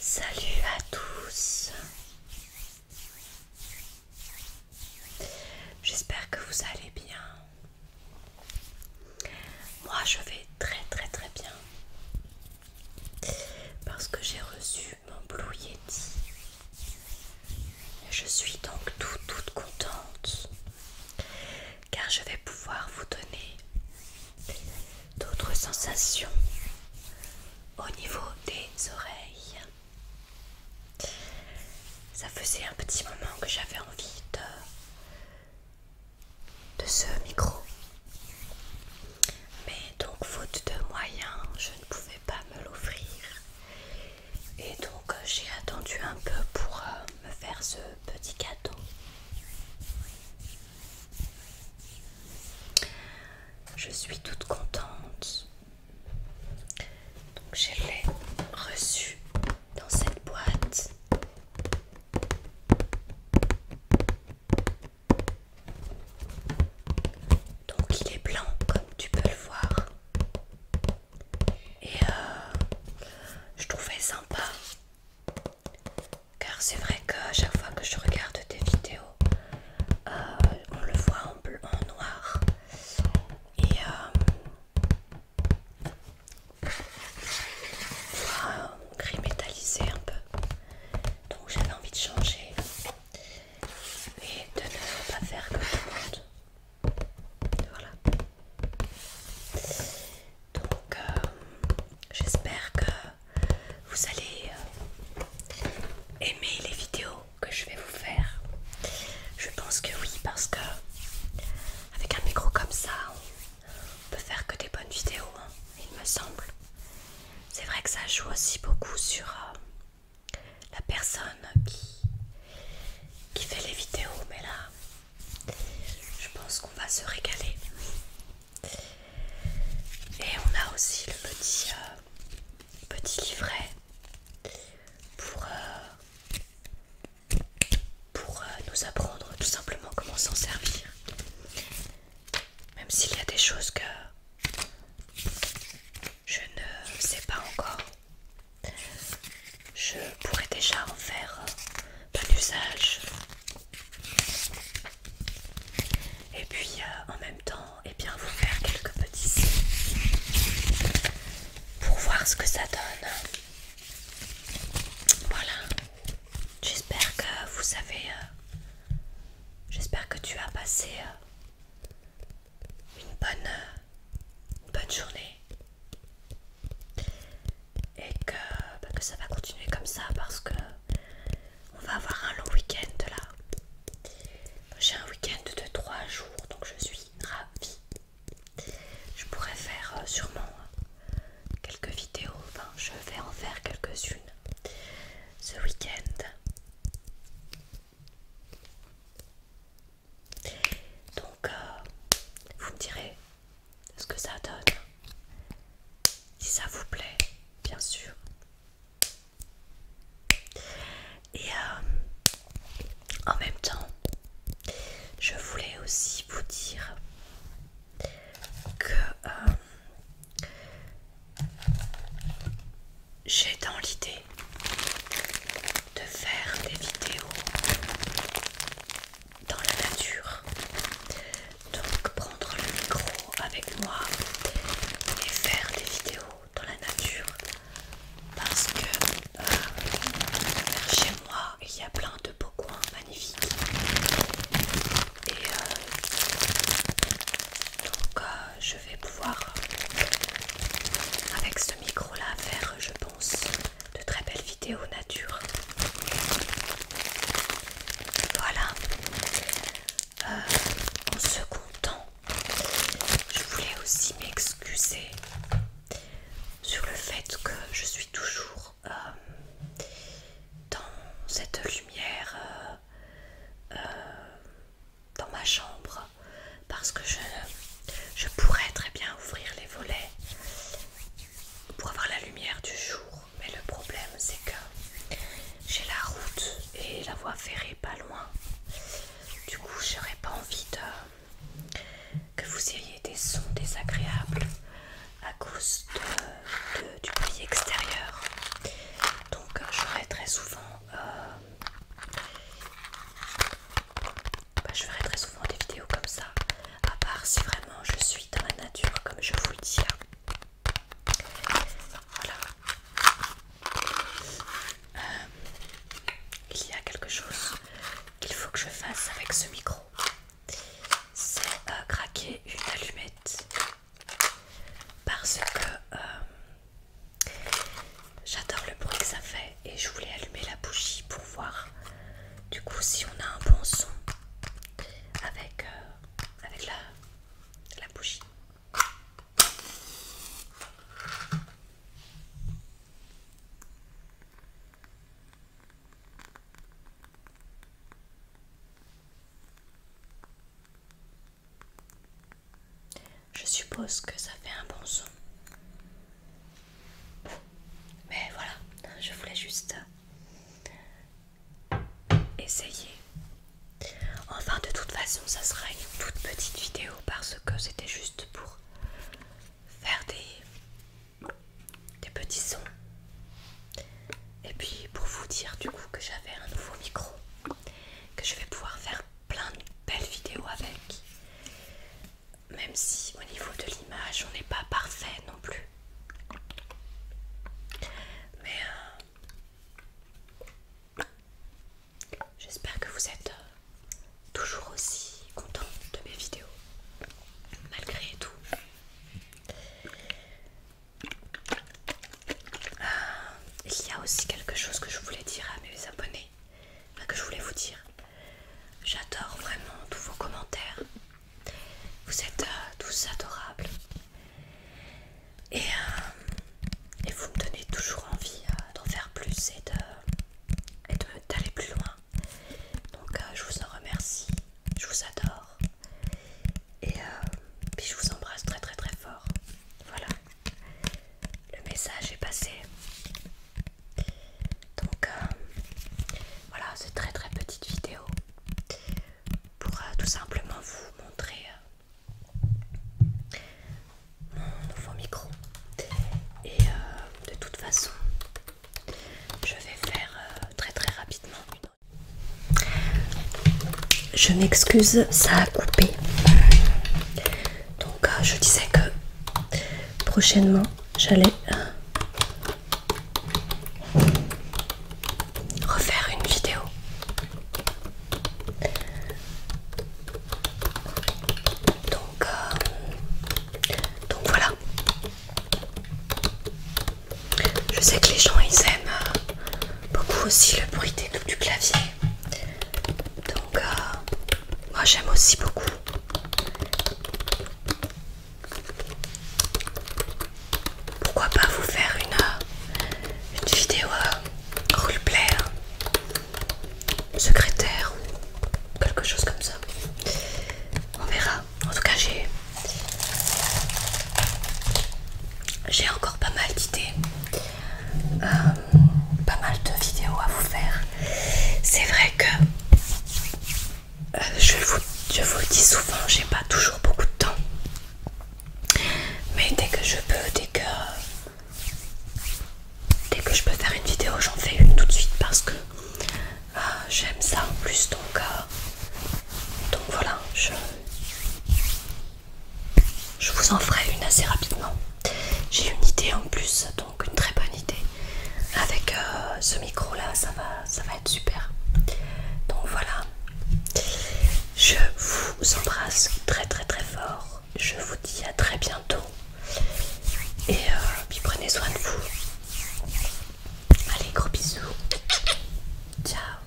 Salut à tous. J'espère que vous allez bien. Moi, je vais très très très bien parce que j'ai reçu mon Blue Yeti. Je suis donc toute toute contente car je vais pouvoir vous donner d'autres sensations au niveau des oreilles. Ça faisait un petit moment que j'avais envie de, ce micro. Mais donc faute de moyens, je ne pouvais pas me l'offrir. Et donc euh, j'ai attendu un peu pour euh, me faire ce petit cadeau. Je suis toute contente. Donc je l'ai reçu dans cette boîte. Donc il est blanc comme tu peux le voir. Et euh, je trouvais sympa. Car c'est vrai qu'à chaque fois que je regarde tes vidéos, euh, on le voit en bleu, en noir. Et euh, voit gris métallisé un peu. Donc j'avais envie de changer et de ne pas faire comme tout le monde. Voilà. Donc, euh, j'espère que vous allez euh, aimer les vidéos que je vais vous faire. Je pense que oui, parce que avec un micro comme ça, on peut faire que des bonnes vidéos, hein, il me semble. C'est vrai que ça joue aussi beaucoup sur euh, la personne qui, qui fait les vidéos, mais là, je pense qu'on va se régaler. Et on a aussi le petit, euh, petit livret pour, euh, euh, nous apprendre tout simplement comment s'en servir. Même s'il y a des choses que je ne sais pas encore je pourrais déjà en faire un usage. Et puis euh, en même temps, et eh bien vous faire quelques petits pour voir ce que ça donne. Voilà. J'espère que vous savez. Euh, j'espère que tu as passé euh, une bonne, bonne journée et bah, que, ça va continuer comme ça parce que on va avoir un long week-end là. J'ai un week-end de 3 jours donc je suis ravie. Je pourrais faire euh, sûrement euh, quelques vidéos, enfin je vais en faire quelques-unes ce week-end. Donc, euh, vous me direz ce que ça donne. Si ça vous plaît, bien sûr. Et euh, en même temps, je voulais aussi vous dire que euh, j'ai dans l'idée de faire des vidéos dans la nature. Donc prendre le micro avec moi et faire des vidéos dans la nature. Parce que euh, chez moi, il y a plein de beaux coins magnifiques. Et euh, donc euh, je vais pouvoir avec ce micro là faire je pense de très belles vidéos nature voilà euh, en second temps je voulais aussi m'excuser sur le fait que je suis toujours euh, dans cette lumière euh, dans ma chambre parce que je, je pourrais très bien ouvrir les volets pour avoir la lumière du jour. Mais le problème c'est que j'ai la route et la voie ferrée pas loin. Du coup, j'aurais pas envie de, que vous ayez des sons désagréables à cause de, du bruit extérieur. Donc, j'aurais très souvent euh, bah, je ferai très souvent des vidéos comme ça, à part si vraiment je suis dans la nature, comme je vous le dis là. Hein. Voilà. Euh, il y a quelque chose qu'il faut que je fasse avec ce micro. C'est euh, craquer une allumette. Parce que euh, J'adore le bruit que ça fait et je voulais allumer la bougie pour voir du coup si on a un bon son avec, euh, avec la bougie. Je suppose que ça fait un bon son. Mais voilà, je voulais juste essayer. Enfin, de toute façon, ça sera une toute petite vidéo parce que c'était juste pour faire des, des petits sons. Et puis pour vous dire du coup que j'avais un nouveau micro que je vais pouvoir faire plein de belles vidéos avec. Même si au niveau de l'image, on n'est pas parfait non plus. Mais euh, j'espère que vous êtes euh, toujours aussi content de mes vidéos, malgré tout. Ah, il y a aussi quelque chose que je voulais dire à mes abonnés, que je voulais vous dire. J'adore vraiment tous vos commentaires. Vous êtes euh, tous adorables. Euh, et, vous me donnez toujours envie euh, d'en faire plus et d'aller plus loin. Donc je vous en remercie. Je vous adore. Et je vous embrasse très très très fort. Voilà le message est passé. Donc euh, voilà, c'est très très petite vidéo pour euh, tout simplement vous montrer euh, mon nouveau micro. Et de toute façon, je vais faire très très rapidement une je m'excuse, ça a coupé. Donc euh, je disais que prochainement j'allais euh, refaire une vidéo. Euh, donc, voilà. Je sais que les gens ils aiment beaucoup aussi le bruit des, du clavier. Donc, euh, moi j'aime aussi beaucoup. Pourquoi pas vous faire une, euh, une vidéo euh, roleplay hein, secrétaire quelque chose comme ça. On verra. En tout cas, j'ai j'ai encore pas mal d'idées euh, pas mal de vidéos à vous faire. C'est vrai que euh, je, vous, le dis souvent, j'ai pas toujours beaucoup de temps. Mais dès que je peux, dès que dès que je peux faire une vidéo, j'en fais une tout de suite parce que euh, j'aime ça en plus. Donc, donc voilà, je, je vous en ferai une assez rapidement. J'ai une idée en plus, donc une très bonne idée. Avec euh, ce micro là, ça va, ça va être super. Donc voilà. Je vous embrasse très très très fort. Je vous dis à très bientôt. Et euh, puis prenez soin de vous. Allez, gros bisous. Ciao.